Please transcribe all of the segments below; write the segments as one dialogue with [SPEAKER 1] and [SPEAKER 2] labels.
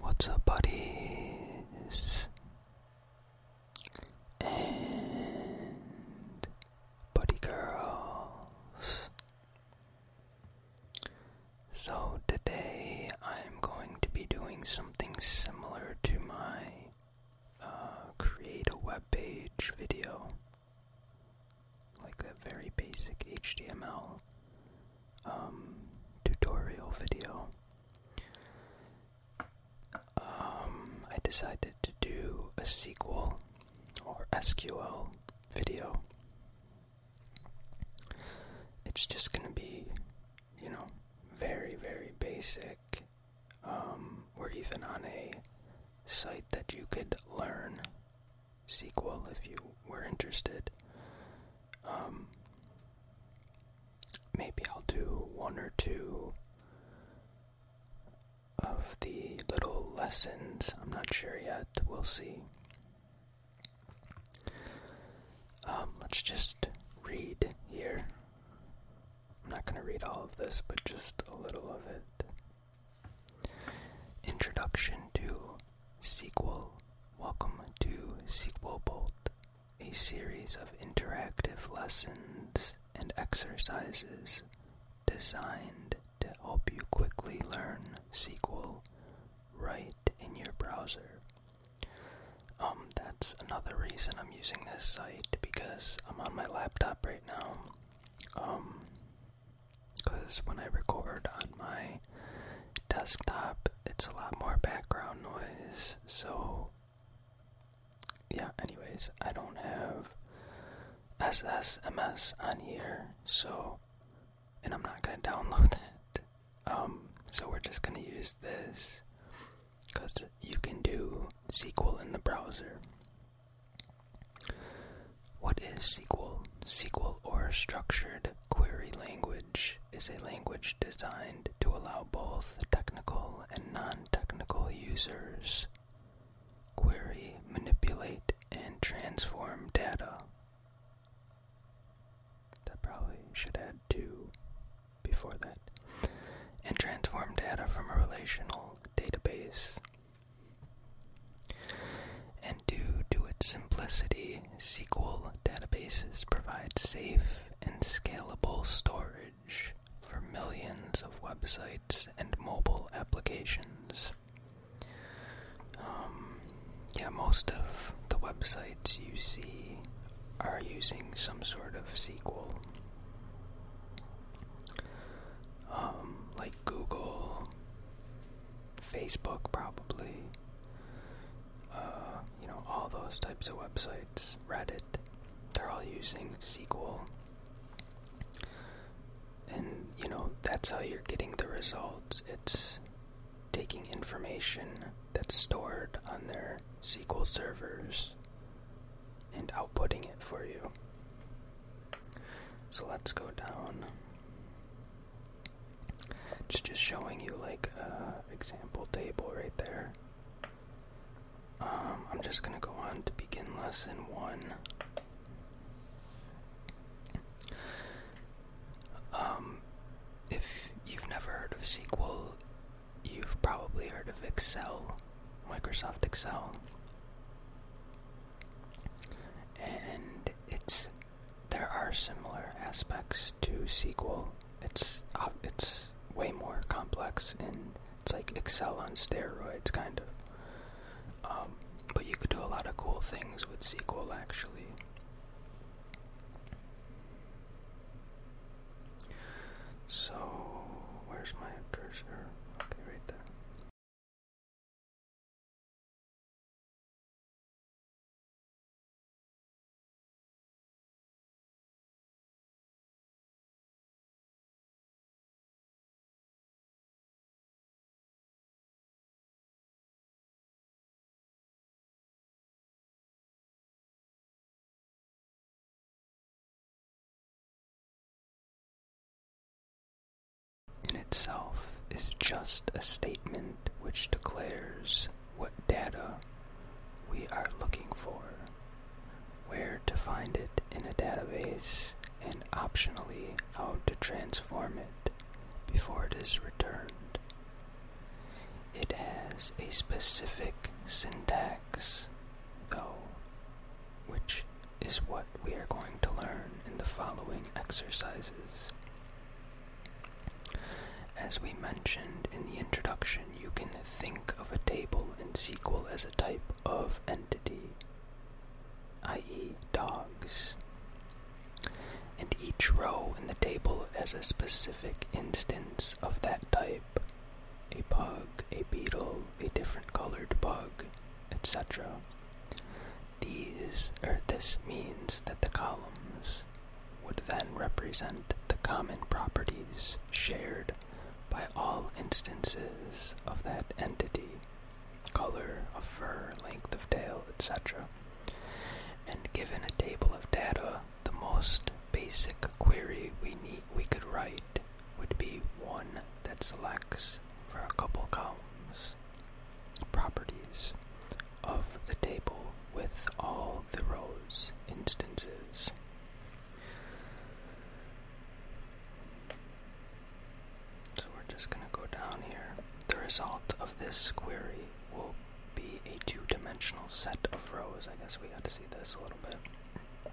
[SPEAKER 1] What's up, buddies and buddy girls? So, today I'm going to be doing something similar to my uh, create a web page video, like that very basic HTML um, tutorial video, um, I decided to do a SQL or SQL video. It's just going to be, you know, very, very basic. Um, we even on a site that you could learn SQL if you were interested. Um, maybe I'll do one or two of the little lessons. I'm not sure yet. We'll see. Um, let's just read here. I'm not going to read all of this, but just a little of it. Introduction to Sequel. Welcome to Sequel Bolt, a series of interactive lessons and exercises designed to help you quickly learn SQL right in your browser. Um, that's another reason I'm using this site because I'm on my laptop right now. Um, because when I record on my desktop, it's a lot more background noise. So, yeah, anyways, I don't have SSMS on here, so, and I'm not gonna download it. Um, so we're just gonna use this because you can do SQL in the browser. What is SQL? SQL or structured Query language is a language designed to allow both technical and non technical users query, manipulate, and transform data. That probably should add two before that. And transform data from a relational database. And due to its simplicity, SQL databases provide safe and scalable storage for millions of websites and mobile applications. Um, yeah, most of the websites you see are using some sort of SQL. Um, like Google, Facebook, probably, uh, you know, all those types of websites, Reddit, they're all using SQL. And, you know, that's how you're getting the results. It's taking information that's stored on their SQL servers and outputting it for you. So let's go down. It's just showing you like a example table right there. Um, I'm just gonna go on to begin lesson one. Um, if you've never heard of SQL, you've probably heard of Excel, Microsoft Excel. And it's there are similar aspects to SQL. It's uh, it's way more complex and it's like Excel on steroids, kind of. Um, but you could do a lot of cool things with SQL, actually. So, where's my cursor? Okay, right there in itself is just a statement which declares what data we are looking for, where to find it in a database, and optionally how to transform it before it is returned. It has a specific syntax, though, which is what we are going to learn in the following exercises. As we mentioned in the introduction, you can think of a table in SQL as a type of entity, i.e., dogs, and each row in the table as a specific instance of that type a bug, a beetle, a different colored bug, etc. These or this means that the columns would then represent the common properties shared by all instances of that entity color of fur, length of tail, etc. And given a table of data, the most basic query we need we could write would be one that selects for a couple columns properties of the table with all the rows instances. So we're just going to go down here. The result of this query will be a two dimensional set of rows. I guess we got to see this a little bit.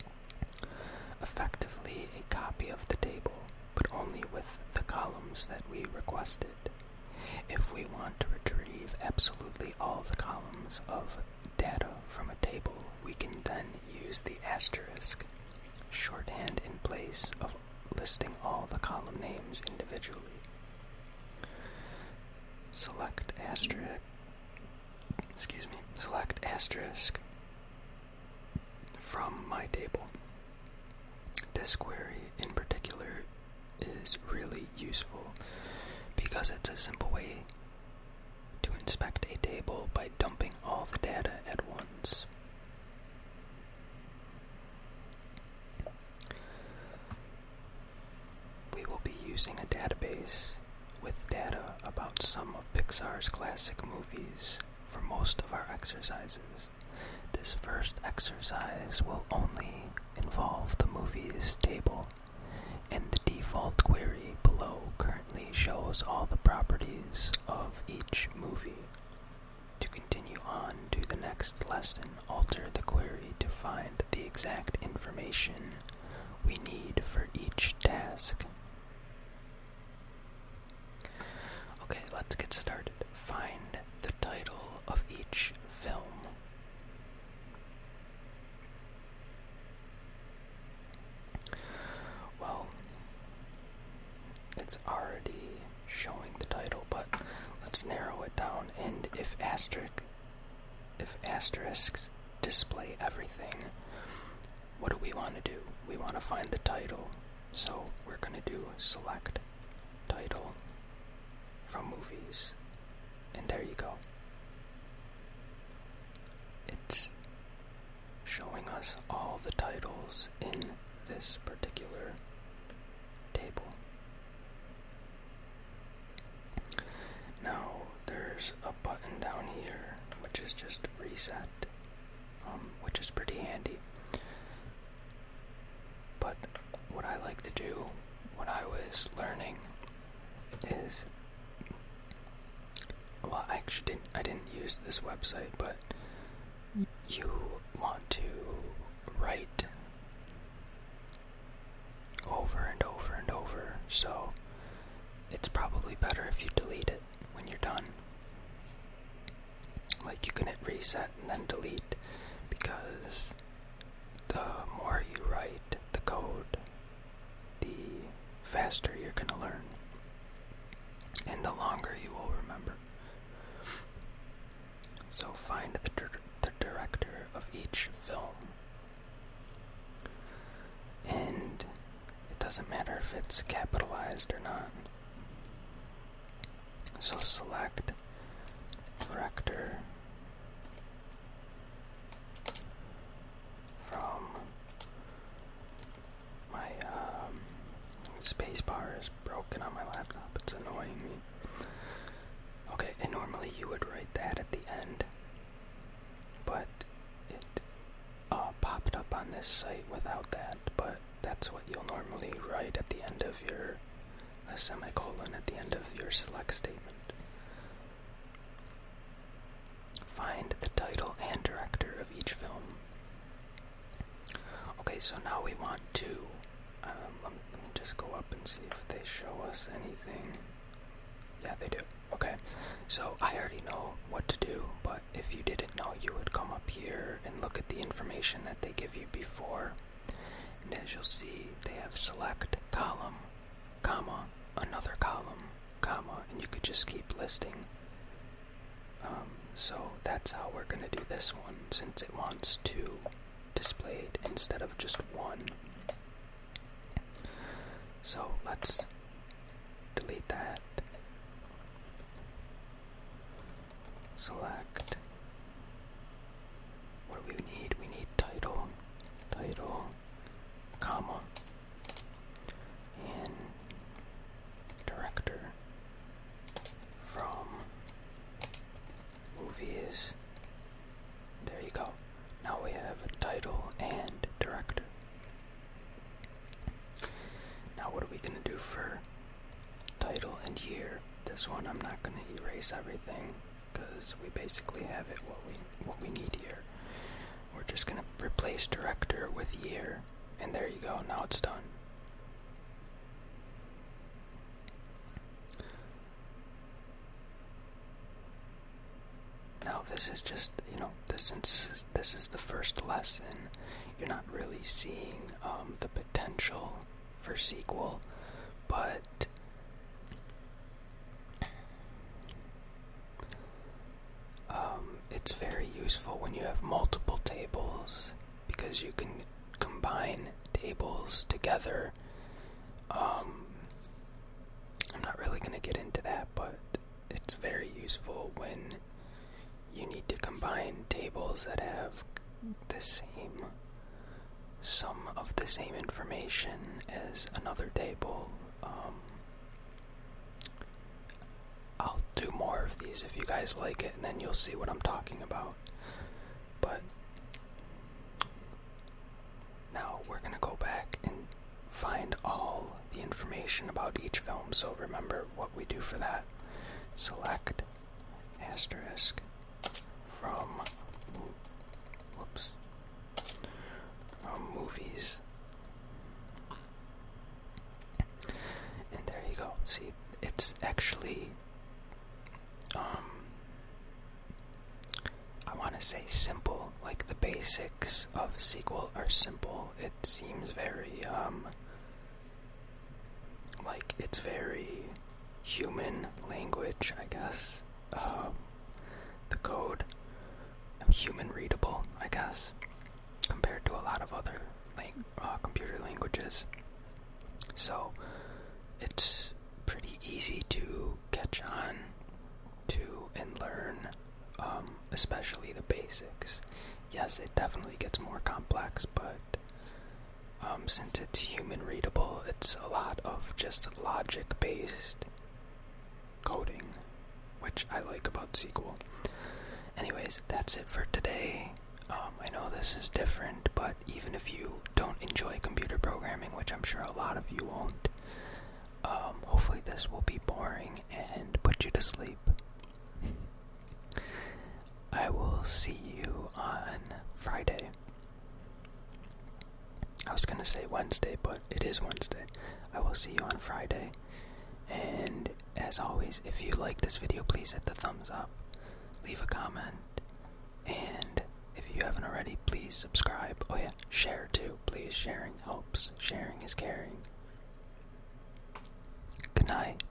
[SPEAKER 1] Effectively, a copy of the table, but only with the columns that we requested. If we want to retrieve absolutely all the columns of data from a table, we can then use the asterisk shorthand in place of listing all the column names individually. Select asterisk excuse me, select asterisk from my table. This query in particular is really useful because it's a simple way to inspect a table by dumping all the data at once. We will be using a database with data about some of Pixar's classic movies for most of our exercises. This first exercise will only involve the movies table, and the default query below currently shows all the properties of each movie. To continue on to the next lesson, alter the query to find the exact information we need for each task. Okay, let's get started. Find the title of each film. Well, it's already showing the title, but let's narrow it down. And if asterisk, if asterisks display everything, what do we want to do? We want to find the title, so we're going to do select title from movies, and there you go. It's showing us all the titles in this particular table. Now, there's a button down here which is just reset, um, which is pretty handy. But what I like to do when I was learning is well, I actually didn't I didn't use this website, but you want to write over and over and over, so it's probably better if you delete it when you're done. Like you can hit reset and then delete because the more you write the code, the faster you're going to learn, and the longer you will remember. So find the, director of each film. And it doesn't matter if it's capitalized or not. So select director from my um, is broken on my laptop. It's annoying me. Okay, and normally you would write that at the end, but it uh, popped up on this site without that. But that's what you'll normally write at the end of your a semicolon at the end of your select statement. Find the title and director of each film. Okay, so now we want to. Um, let me just go up and see if they show us anything. Yeah, they do. Okay, so I already know what to do, but if you didn't know, you would come up here and look at the information that they give you before and as you'll see, they have select column, comma, another column, comma, and you could just keep listing. Um, so that's how we're going to do this one since it wants two displayed instead of just one. So let's delete that. Select what do we need? We need title, title, comma, and director from movies. There you go. Now we have title and director. Now, what are we going to do for title and year? This one I'm not going to erase everything because we basically have it what we what we need here. We're just gonna replace director with year, and there you go. Now it's done. Now this is just you know since this is the first lesson. You're not really seeing um, the potential for sequel but um, it's very useful when you have multiple tables because you can combine tables together. Um, I'm not really going to get into that, but it's very useful when you need to combine tables that have the same some of the same information as another table. Um, I'll do more of these if you guys like it, and then you'll see what I'm talking about. But now we're gonna go back and find all the information about each film, so remember what we do for that. Select asterisk from whoops from movies. And there you go. See, it's actually um I want to say simple, like the basics of SQL are simple. It seems very um like it's very human language, I guess. Um, the code human readable, I guess, compared to a lot of other like uh, computer languages. So it's pretty easy to catch on to and learn, um, especially the basics. Yes, it definitely gets more complex, but um, since it's human readable, it's a lot of just logic based coding, which I like about SQL. Anyways, that's it for today. Um, I know this is different, but even if you don't enjoy computer programming, which I'm sure a lot of you won't, um, hopefully this will be boring and put you to sleep. I will see you on Friday. I was gonna say Wednesday, but it is Wednesday. I will see you on Friday. And as always, if you like this video, please hit the thumbs up, leave a comment, and if you haven't already, please subscribe. Oh, yeah, share too. Please, sharing helps. Sharing is caring. Good night.